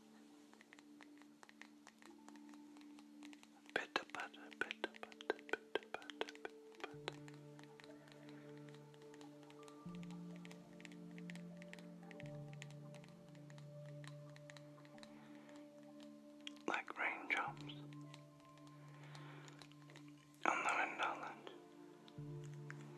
Pitta patta, pitta patta, pitta patta, pitta Like raindrops on the windowland.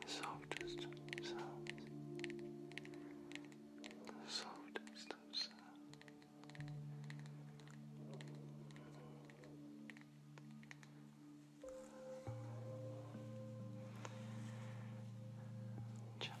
The softest sounds the softest Gentle.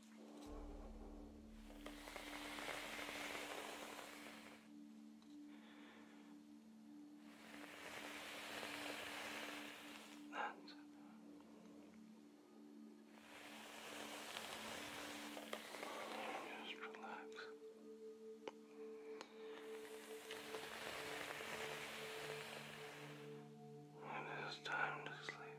And just relax. It is time to sleep.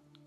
Just Good.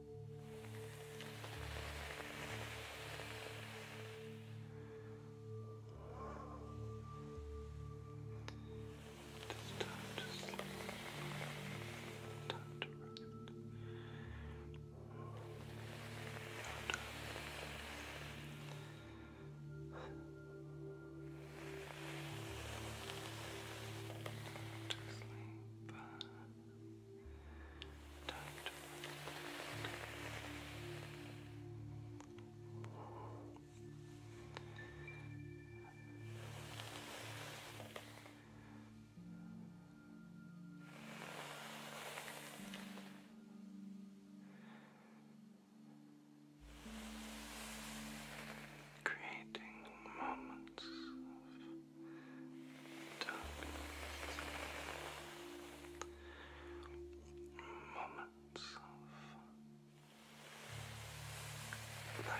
It's time to sleep. Time to rest. Just sleep. Tight. Creating moments of moments of light.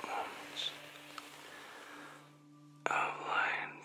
Moments of light. Relax.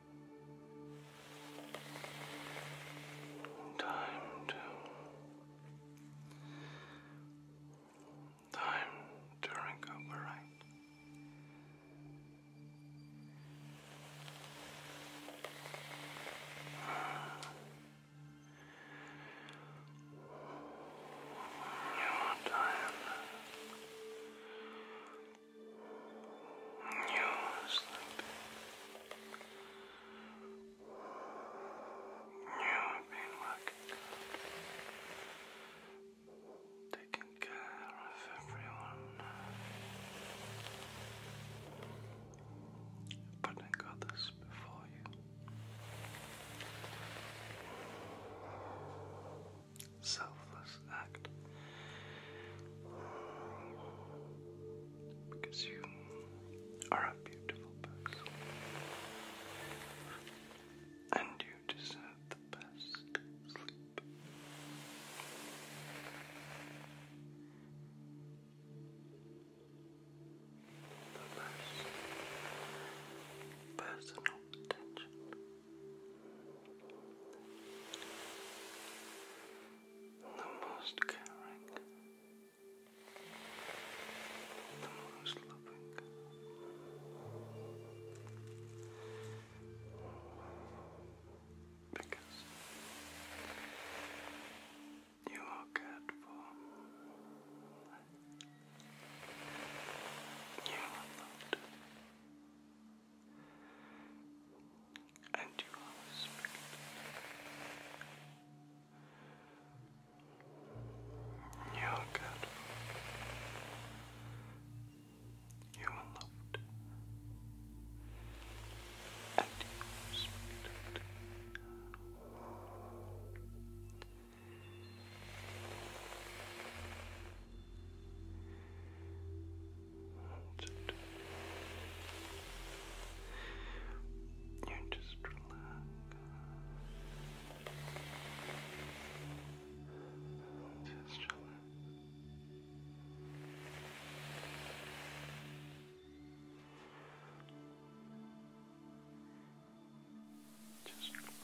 Time to. Time to recuperate. You are tired. You're sleeping. You've been working taking care of everyone, putting others before you selfless act because you are a beautiful person and you deserve the best sleep. The best personal attention the most caring, the most loving. Because you are cared for, you are loved, and you are respected. You are good. You are loved. And you are respected. That's it. You just relax. Just relax. Just relax.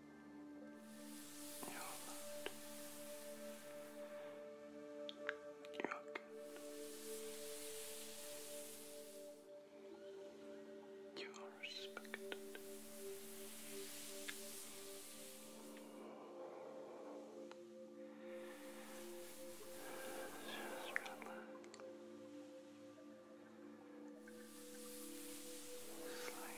You're loved. You're good. You are respected. Just relax. Sleep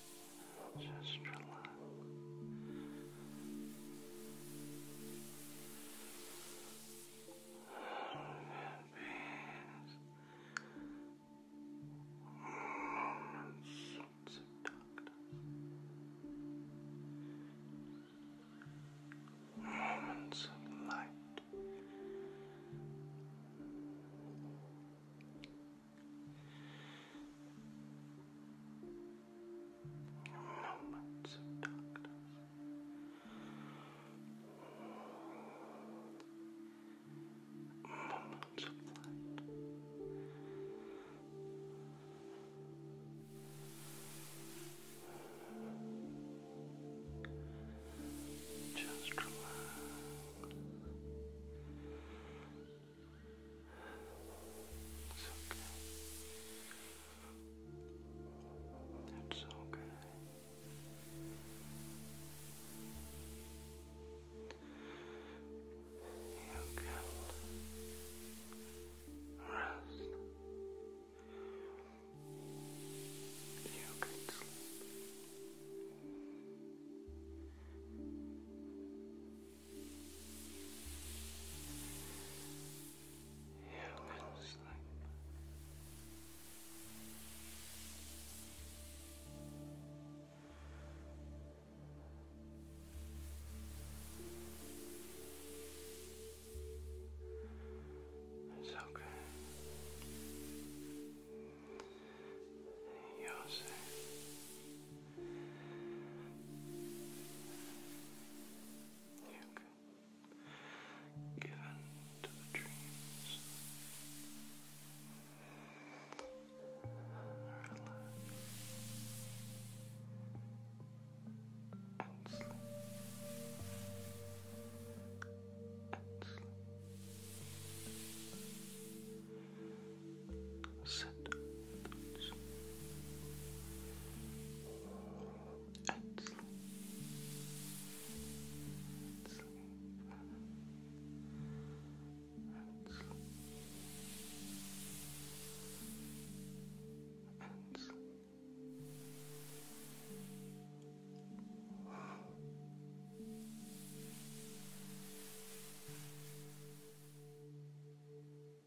Just relax. Moments of darkness. Moments of light. Moments of darkness. Moments of light. Just relax. It's okay. That's okay. You can rest. You can sleep. Your little sleep. It's okay. you You've given to the dreams. Relax and sleep sentence. And sleep. And sleep. And sleep. And sleep.